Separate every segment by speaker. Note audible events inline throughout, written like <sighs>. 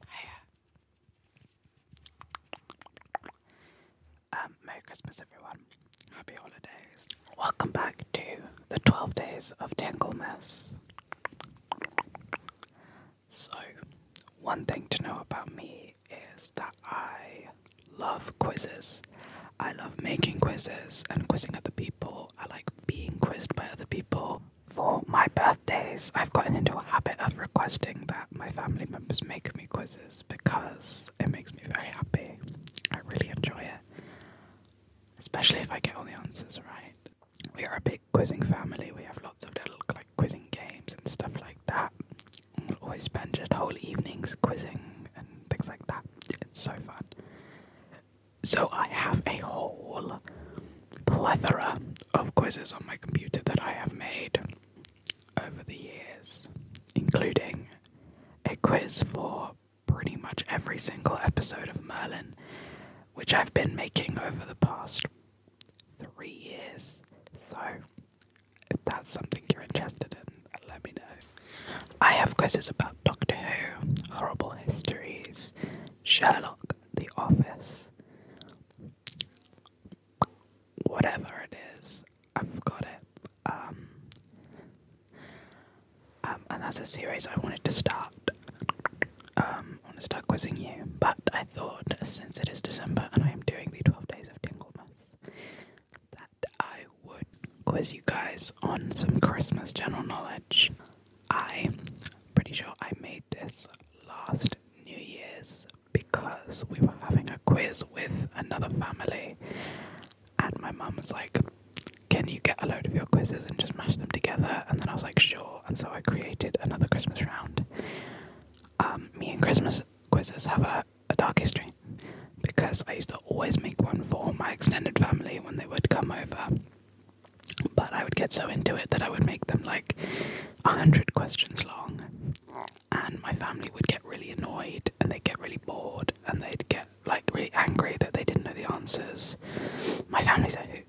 Speaker 1: <sighs> Um, Merry Christmas, everyone. Happy holidays. Welcome back to the 12 days of Tangleness. So, one thing to know about me is that I love quizzes. I love making quizzes and quizzing other people. I like being quizzed by other people for my birthdays, I've gotten into a habit of requesting that my family members make me quizzes because it makes me very happy. I really enjoy it, especially if I get all the answers right. We are a big quizzing family. We have lots of little like quizzing games and stuff like that. we'll always spend just whole evenings quizzing and things like that. It's so fun. So I have a whole plethora of quizzes on my computer that I have made over the years, including a quiz for pretty much every single episode of Merlin, which I've been making over the past three years. So, if that's something you're interested in, let me know. I have quizzes about Doctor Who, Horrible Histories, Sherlock, The Office, whatever it is, I've got it. Um, um, and that's a series I wanted to start. Um, I want to start quizzing you, but I thought since it is December and I am doing the 12 days of Tinglemas, that I would quiz you guys on some Christmas general knowledge. I'm pretty sure I made this last New Year's because we were having a quiz with another family, and my mum was like, Can you get a load of your quizzes and just mash them together? And then I was like, Sure. And so I created another Christmas round. Um, me and Christmas quizzes have a dark history because I used to always make one for my extended family when they would come over. But I would get so into it that I would make them like a hundred questions long, and my family would get really annoyed, and they'd get really bored, and they'd get like really angry that they didn't know the answers. My family's a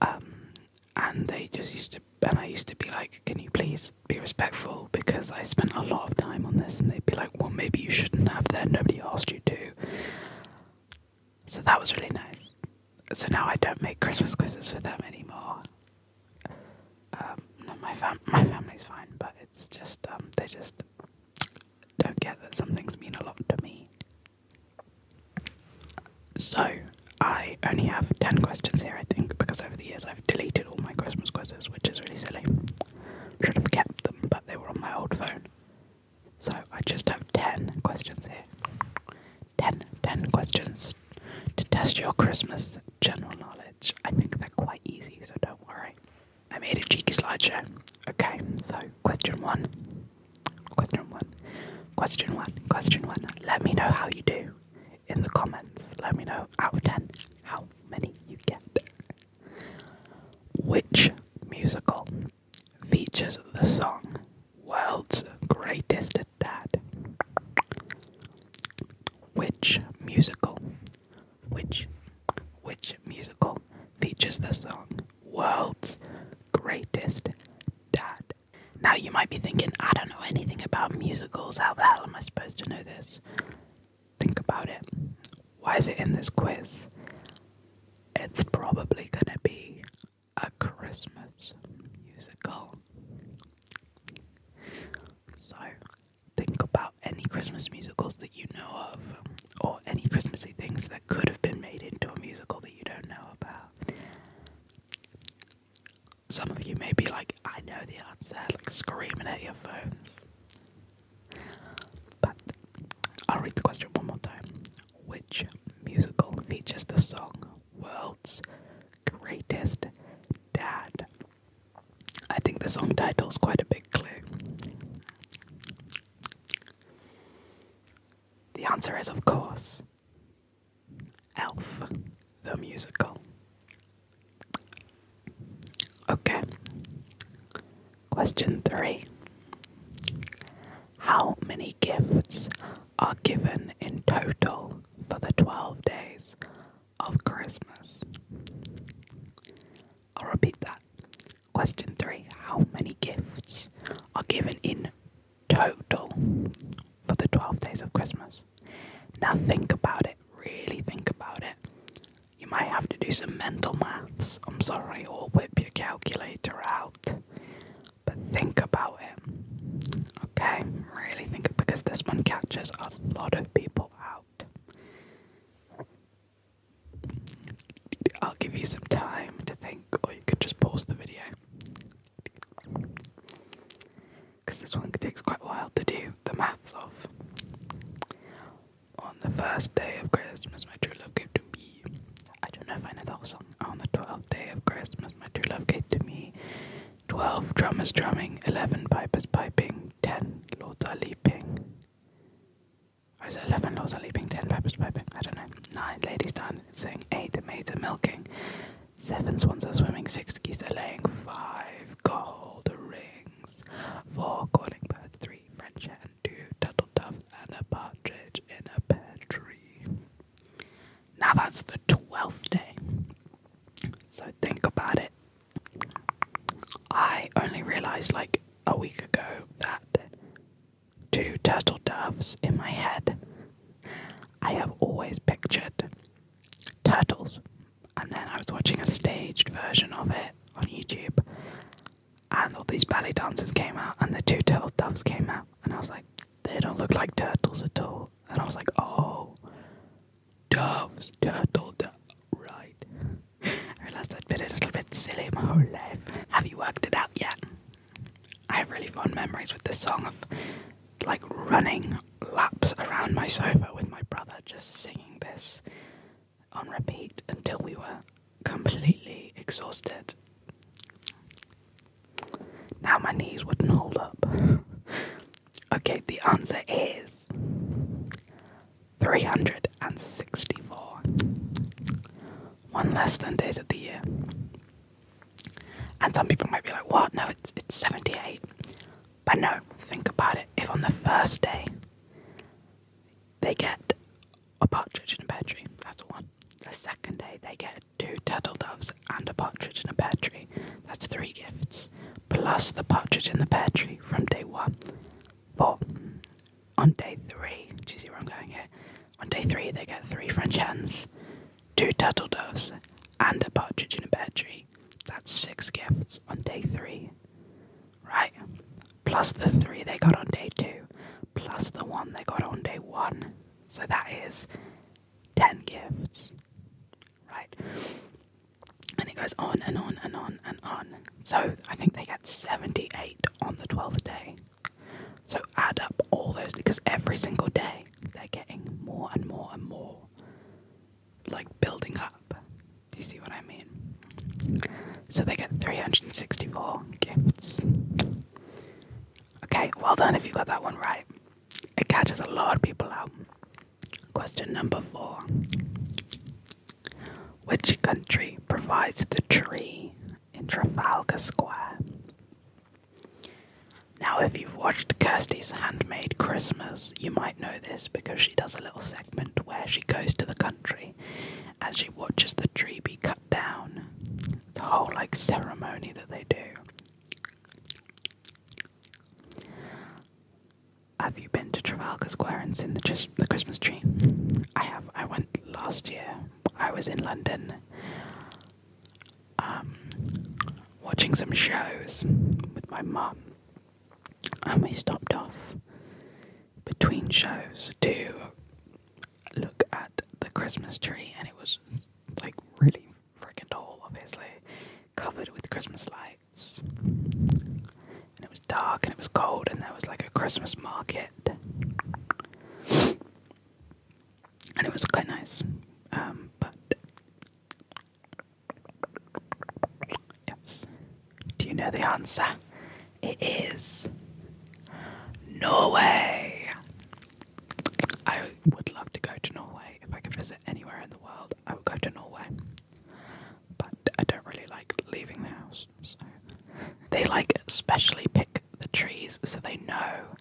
Speaker 1: um, and they just used to. And I used to be like, "Can you please be respectful?" Because I spent a lot of time on this, and they'd be like, "Well, maybe you shouldn't have that. Nobody asked you to." So that was really nice. So now I don't make Christmas quizzes with them anymore. Um, my fam my family's fine, but it's just um, they just don't get that some things mean a lot to me. So I only have ten questions here, I think, because over the years I've deleted all my Christmas quizzes, which is really silly. Should have kept them, but they were on my old phone. So I just have ten questions here. 10, questions to test your Christmas general knowledge. I think they're quite easy, so don't worry. I made a cheeky slideshow. Okay, so question one. Question one. Question one. Question one. Let me know how you do in the comments. Let me know out of 10 how many you get. Which musical features the song World's Greatest at Which musical? Which which musical features the song World's Greatest Dad? Now you might be thinking, I don't know anything about musicals. How the hell am I supposed to know this? Think about it. Why is it in this quiz? It's probably gonna be a Christmas musical. So, think about any Christmas musicals that you know of, or any Christmassy things that could have been made into a musical that you don't know about. Some of you may be like, I know the answer, like screaming at your phones. But I'll read the question one more time. Which musical features the song world's greatest dad. I think the song title is quite a big clue. The answer is, of course, Elf, the musical. Okay. Question three How many gifts are given in total for the 12 days of Christmas. I'll repeat that. Question 3 How many gifts are given in total for the 12 days of Christmas? Now think about it, really think about it. You might have to do some mental maths, I'm sorry, or whip your calculator out. But think about it, okay? Really think because this one catches a lot of people out. I'll give you some time to think, or you could just pause the video. Because this one takes quite a while to do the maths of. On the first day of Christmas, my true love gave to me. I don't know if I know the whole song on the twelfth day of Christmas, my true love gave to me twelve drummers drumming, eleven pipers piping, ten lords are leaping. Or is eleven lords are leaping, ten pipers piping? I don't know. Nine ladies dancing, eight maids are milking, seven swans are swimming, six geese are laying, five gold rings, four calling birds, three French hens, two turtle doves, and a partridge in a pear tree. Now that's the 12th day. So think about it. I only realized like a week ago that two turtle doves in my head. I have always pictured turtles, and then I was watching a staged version of it on YouTube, and all these ballet dancers came out, and the two turtle doves came out, and I was like, they don't look like turtles at all. And I was like, oh, doves, turtle, do right. <laughs> I realized I'd been a little bit silly my whole life. Have you worked it out yet? I have really fond memories with this song of like running laps around my sofa with my brother, just singing this on repeat until we were completely exhausted. Now my knees wouldn't hold up. <laughs> okay, the answer is 364. One less than days of the year. And some people might be like, what? No, it's, it's 78. But no, think about it. If on the first day they get a partridge in a pear tree, that's one. The second day they get Two turtle doves and a partridge in a pear tree. That's three gifts, plus the partridge in the pear tree from day one. Four. On day three, do you see where I'm going here? On day three, they get three French hens, two turtle doves, and a partridge in a pear tree. That's six gifts on day three. Right? Plus the three they got on day two, plus the one they got on day one. So that is 10 gifts, right? And it goes on and on and on and on. So I think they get 78 on the 12th day. So add up all those because every single day they're getting more and more and more, like building up. Do you see what I mean? So they get 364 gifts. Okay, well done if you got that one right. It catches a lot of people out. Question number four Which country provides the tree in Trafalgar Square? Now, if you've watched Kirsty's Handmade Christmas, you might know this because she does a little segment where she goes to the country and she watches the tree be cut down. The whole like ceremony that they do. Have you been to Trafalgar Square and seen the, Christmas tree? I have. I went last year. I was in London um, watching some shows with my mum, and we stopped off between shows to look at the Christmas tree, and it was like really freaking tall, obviously, covered with Christmas lights. And it was dark and it was cold, and there was like a Christmas market. And it was quite nice. Um, but. Yes. Do you know the answer? It is Norway. I would love to go to Norway. If I could visit anywhere in the world, I would go to Norway. But I don't really like leaving the house. they like specially pick the trees so they know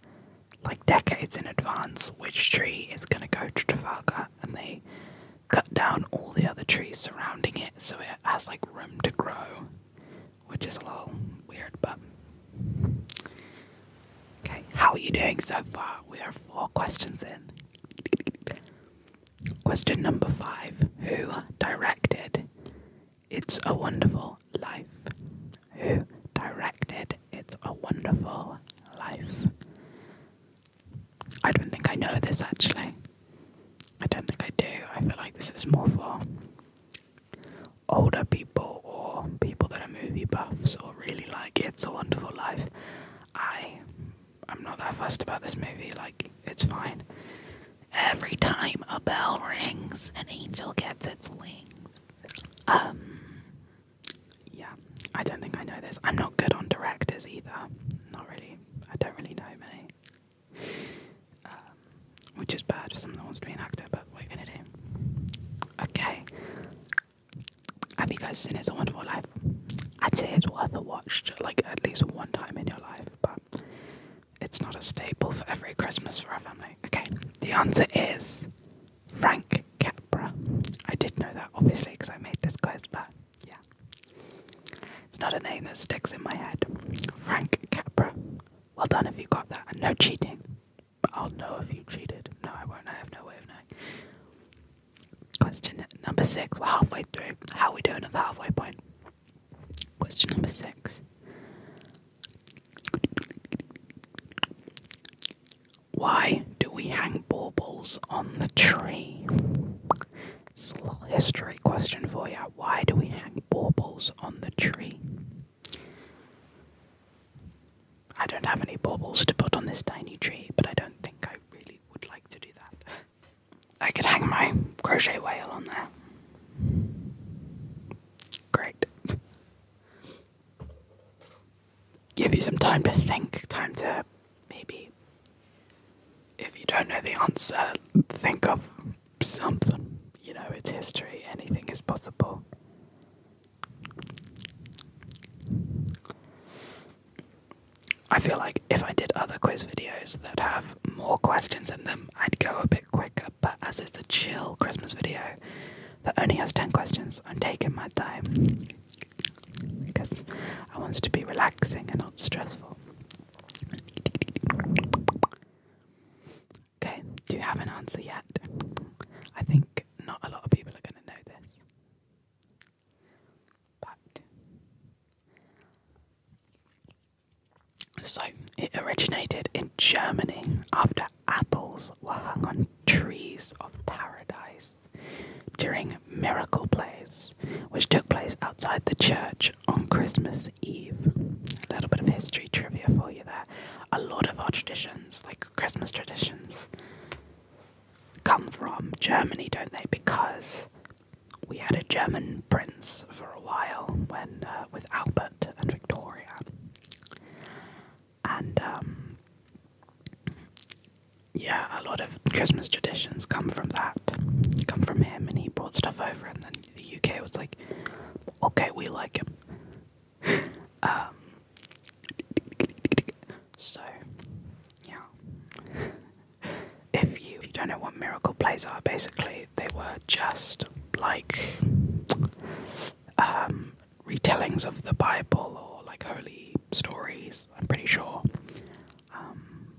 Speaker 1: like decades in advance which tree is going to go to Trafalgar and they cut down all the other trees surrounding it so it has like room to grow, which is a little weird, but Okay, how are you doing so far? We are four questions in. Question number five Who directed It's a Wonderful Life? Who directed It's a Wonderful Life? I don't think I know this actually. I don't think I do. I feel like this is more for older people or people that are movie buffs or really like It's a Wonderful Life, I I'm not that fussed about this movie. Like it's fine. Every time a bell rings, an angel gets its wings. Um, yeah, I don't think I know this. I'm not good on directors either. Not really. I don't really know many. Um, which is bad for someone that wants to be an actor, but what are you gonna do? Okay. Have you guys seen It's a Wonderful Life? I'd say it's worth a watch, like at least one time in your life, but it's not a staple for every Christmas for our family. Okay, the answer is Frank Capra. I did know that, obviously, because I made this quiz, but yeah. It's not a name that sticks in my head. Frank Capra. Well done if you got that, no cheating. I'll know if you cheated. No, I won't. I have no way of knowing. Question number six. We're halfway through. How are we doing at the halfway point? Question number six. Why do we hang baubles on the tree? It's a little history question for you. Why do we hang baubles on the tree? I don't have any baubles to put on this tiny tree, but I don't think I really would like to do that. I could hang my crochet whale on there. Great. Give you some time to think, time to maybe, if you don't know the answer, think of something. You know, it's history, anything is possible. I feel like if I did other quiz videos that have more questions in them, I'd go a bit quicker, but as it's a chill Christmas video that only has 10 questions, I'm taking my time because I want it to be relaxing and not stressful. Okay, do you have an answer yet? I think not a lot of people are going to know this. But. So, it originated in Germany after apples were hung on trees of paradise during miracle plays, which took place outside the church on Christmas Eve. A little bit of history trivia for you there. A lot of our traditions, like Christmas traditions come from Germany, don't they? Because we had a German prince for a while when uh, with Albert and Victoria, and um, yeah, a lot of Christmas traditions come from that, come from him, and he brought stuff over, and then the UK was like, okay, we like him, um, so yeah. if you if you don't know what miracle plays are, basically they were just like um, retellings of the Bible or like holy stories. I'm pretty sure um,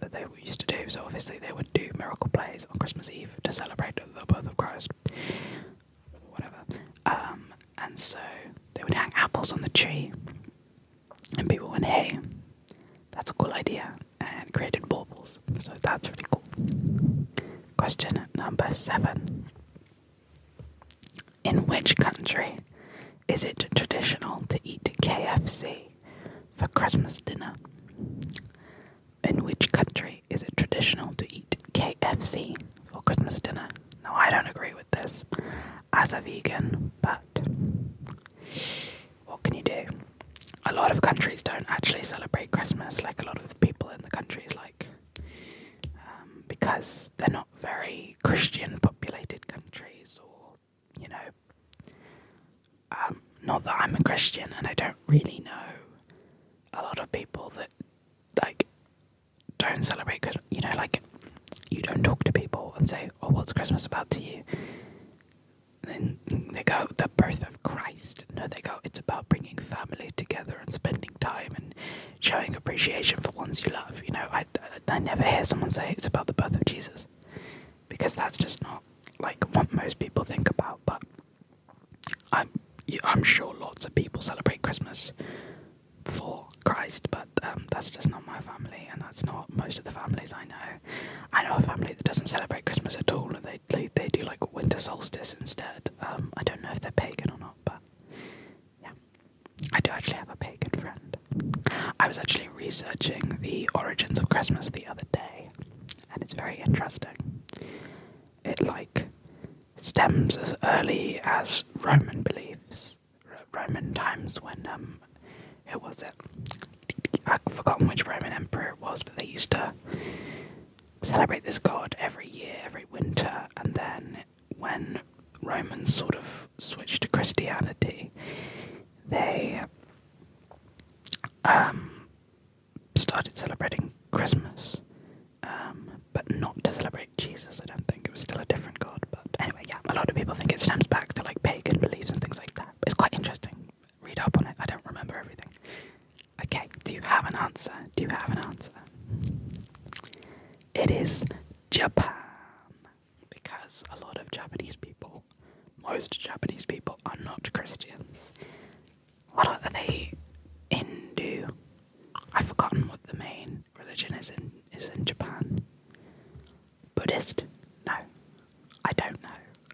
Speaker 1: that they used to do. So obviously they would do miracle plays on Christmas Eve to celebrate the birth of Christ whatever. Um, and so they would hang apples on the tree, and people went, "Hey, that's a cool idea," and created baubles. So that's really cool. Question number seven: In which country is it traditional to eat KFC for Christmas dinner? In which country is it traditional to eat KFC for Christmas dinner? No, I don't agree with this as a vegan, but what can you do? A lot of countries don't actually celebrate Christmas, like a lot of people in the countries, like um, because they're not very Christian populated countries, or you know, um, not that I'm a Christian and I don't really know a lot of people that like don't celebrate Christmas. You know, like you don't talk to people and say, "Oh, what's Christmas about to you?" And then they go, "The birth of Christ." No, they go, "It's about bringing family together and spending time and showing appreciation for ones you love." You know, I, I never hear someone say it's about the birth of Jesus because that's just not like what most people think about. But I'm I'm sure lots of people celebrate Christmas for Christ, but um, that's just not my family, and that's not most of the families I know. I know a family that doesn't celebrate Christmas at all, and they they, do like winter solstice instead. Um, I don't know if they're pagan or not, but yeah, I do actually have a pagan friend. I was actually researching the origins of Christmas the other day, and it's very interesting. It like stems as early as Roman beliefs, Roman times when um, who was it? I've forgotten which Roman emperor it was, but they used to celebrate this god every year, every winter, and then when Romans sort of switched to Christianity, they um, started celebrating Christmas um, but not to celebrate Jesus. I don't think it was still a different god. But anyway, yeah, a lot of people think it stems back to like pagan beliefs and things like that. it's quite interesting. Read up on it. I don't remember everything. Okay, do you have an answer? Do you have an answer? It is Japan. Because a lot of Japanese people, most Japanese people, are not Christians. What are they? Hindu? I've forgotten what the main religion is in is in Japan. Buddhist? No, I don't know.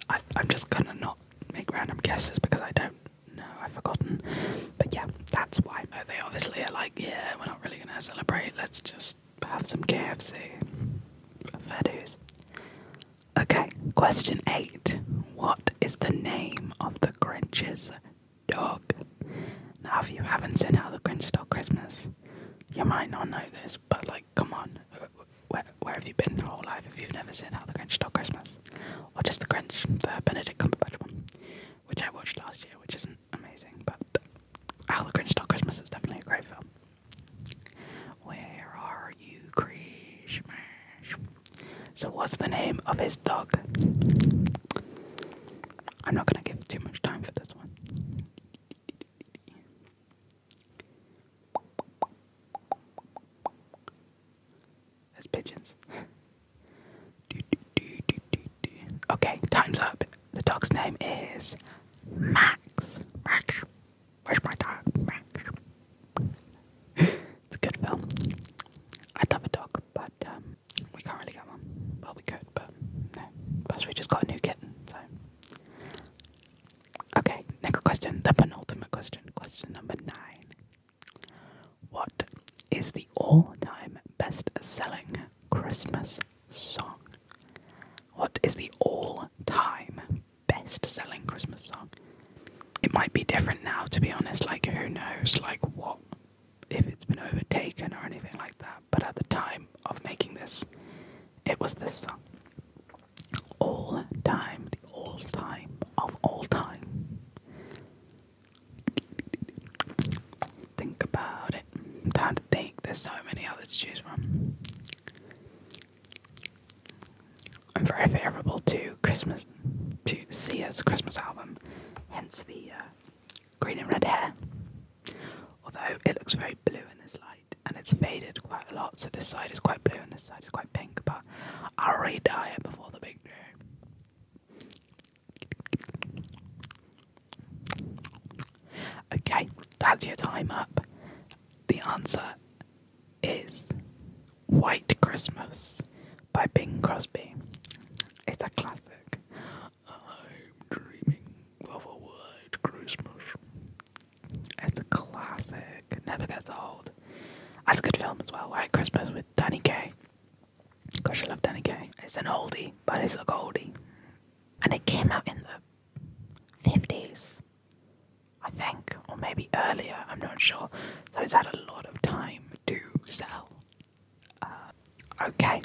Speaker 1: I, am just gonna not make random guesses because I don't know. I've forgotten. But yeah, that's why they obviously are like, yeah, we're not really gonna celebrate. Let's just have some KFC. Fair dues. Okay, question eight. What is the name of the Grinch's dog. Now, if you haven't seen How the Grinch Stole Christmas, you might not know this, but like, come on, where, where have you been your whole life if you've never seen How the Grinch Stole Christmas? Or just The Grinch, the Benedict Cumberbatch one, which I watched last year, which isn't amazing, but How the Grinch Stole Christmas is definitely a great film. Where are you, Grinch? So, what's the name of his dog? I'm not gonna give too much time for this one. There's pigeons. okay, time's up. The dog's name is Max. Max. Where's my dog? it's a good film. I love a dog, but um, we can't really get one. Well, we could, but no. Plus, we just got a new kitten, so. Okay, next question, the penultimate question, question number nine. What is the all time best selling Christmas song? What is the all time best selling Christmas song? It might be different now, to be honest. Like, who knows, like, what if it's been overtaken or anything like that, but at the time of making this, it was this song. All time, the all time of all time. Think about it. Time to think. There's so many others to choose from. I'm very favourable to Christmas, to Sia's Christmas album, hence the uh, green and red hair. Although it looks very blue in this light and it's faded quite a lot, so this side is quite blue and this side is quite pink, but I'll redye it before the big day. Okay, that's your time up. The answer is White Christmas by Bing Crosby. It's a classic. I'm dreaming of a white Christmas. It's a classic. Never gets old. That's a good film as well. White Christmas with Danny Kaye. Gosh, I love Danny Kaye. It's an oldie, but it's a goldie. And it came out in the 50s, I think, or maybe earlier, I'm not sure. So it's had a lot of time to sell. Uh, okay,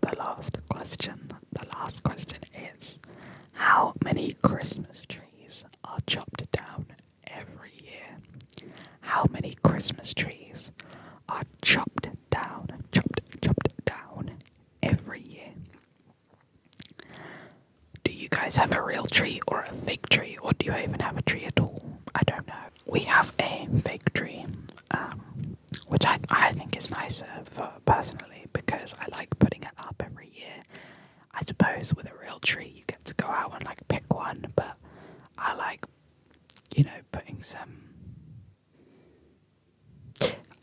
Speaker 1: the last question. The last question is How many Christmas trees are chopped down every year? How many Christmas trees are chopped down, chopped, chopped down every year? Do you guys have a real tree or a fake tree, or do you even have a tree at all? I don't know we have a fake tree, um, which I, I think is nicer for personally because I like putting it up every year. I suppose with a real tree you get to go out and like pick one, but I like, you know, putting some.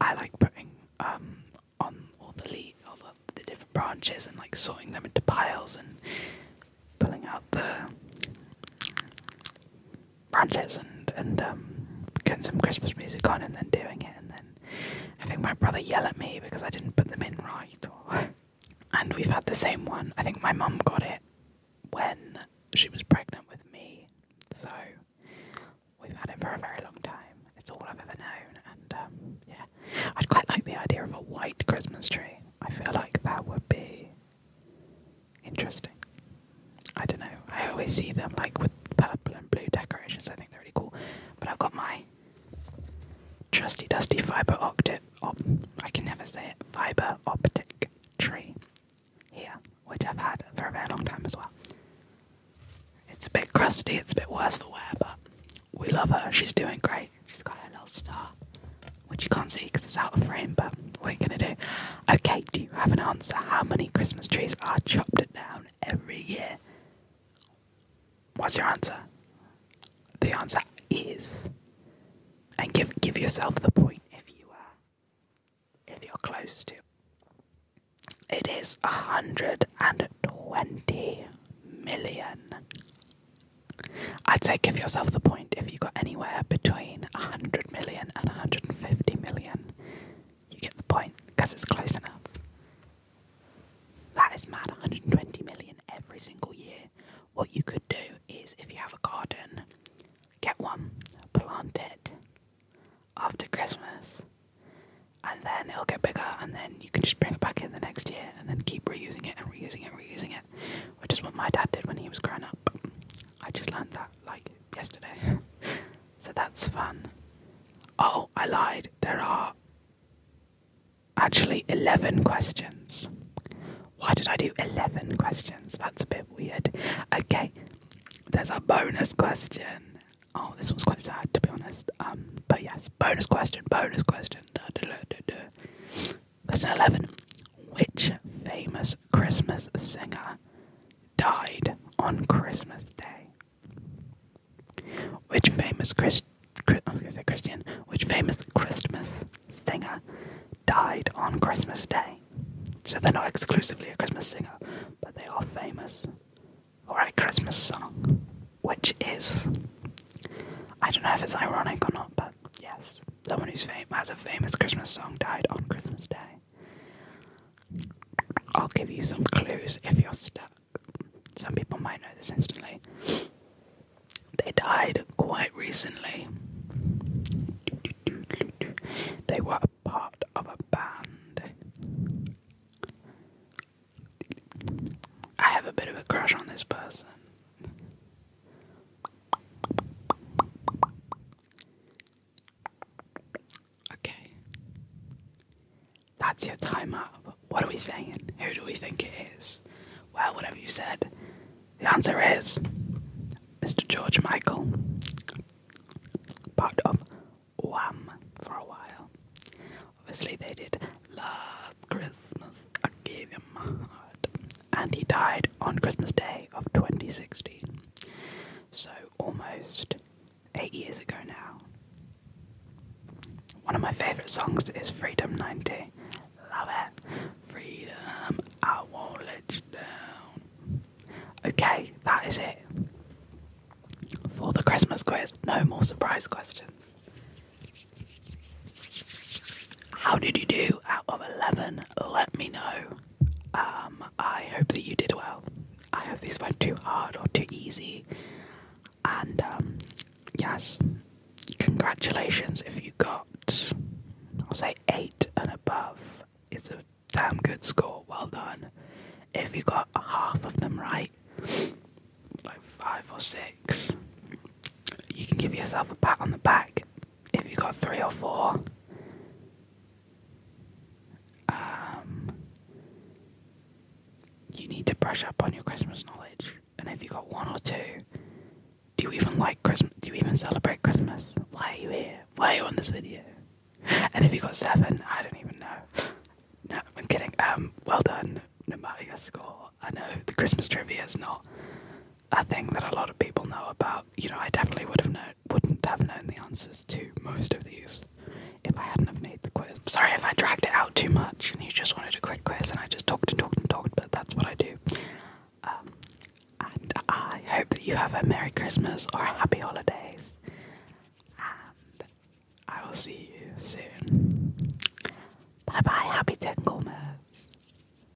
Speaker 1: I like putting um on all the leaf, all the, the different branches and like sorting them into piles and pulling out the branches and and um, getting some Christmas music on and then doing it and then I think my brother yelled at me because I didn't put them in right. and we've had the same one. I think my mum got it when she was pregnant with me, so we've had it for a very long time. It's all I've ever known, and um, yeah, I'd quite like the idea of a white Christmas tree. I feel like that would be Interesting. I don't know. I always see them like with purple and blue decorations. I think they're really cool. But I've got my trusty dusty fiber optic. Op I can never say it. Fiber optic tree here, which I've had for a very long time as well. It's a bit crusty. It's a bit worse for wear, but we love her. She's doing great. She's got her little star which you can't see because it's out of frame, but what are you gonna do? Okay, do you have an answer? How many Christmas trees are chopped down every year? What's your answer? The answer is, and give give yourself the point if you are, if you're close to. It is a hundred and twenty million. I'd say give yourself the point if you got anywhere between 100 million and 150 million. You get the point because it's close enough. That is mad 120 million every single year. What you could do is if you have a garden, get one, plant it after Christmas, and then it'll get bigger, and then you can just bring it back in the next year and then keep reusing it and reusing it and reusing it which is what my dad did when he was growing up. I just learned that like yesterday. <laughs> so that's fun. Oh, I lied. There are actually 11 questions. Why did I do 11 questions? That's a bit weird. Okay, there's a bonus question. Oh, this was quite sad to be honest. Um, but yes, bonus question, bonus question. Da, da, da, da, da. Question 11. Which famous Christmas singer died on Christmas Day? Which famous Chris, I was going to say Christian, which famous Christmas singer died on Christmas Day? So they're not exclusively a Christmas singer, but they are famous for a Christmas song, which is I don't know if it's ironic or not, but Yes, the one who's famous, has a famous Christmas song died on Christmas Day. I'll give you some clues if you're stuck. Some people might know this instantly. They died quite recently. They were a part of a band. I have a bit of a crush on this person. Okay. That's your time What are we saying? Who do we think it is? Well, whatever you said, the answer is Mr. George Michael. Part of Wham for a while. Obviously, they did Last Christmas. I gave him and he died on Christmas Day of 2016. So almost eight years ago now. One of my favourite songs is Freedom 90. Love it. Freedom, I won't let you down. Okay, that is it. For the Christmas quiz, no more surprise questions. How did you do out of 11? Let me know. Um, I hope that you did well. I hope these weren't too hard or too easy. And um, yes, congratulations if you got, I'll say 8 and above. It's a damn good score. Well done. If you got half of them right, like 5 or 6, you can give yourself a pat on the back if you got three or four, um, you need to brush up on your Christmas knowledge. And if you got one or two, do you even like Christmas? Do you even celebrate Christmas? Why are you here? Why are you on this video? And if you got seven, I don't even know. No, I'm kidding. Um, well done. No matter your score, I know the Christmas trivia is not a thing that a lot of people know about. You know, I definitely would have known, wouldn't have known the answers to most of these if I hadn't have made the quiz. Sorry if I dragged it out too much and you just wanted a quick quiz and I just talked and talked and talked, but that's what I do. Um, and I hope that you have a Merry Christmas or Happy Holidays. And I will see you soon. Bye bye, happy tingleness.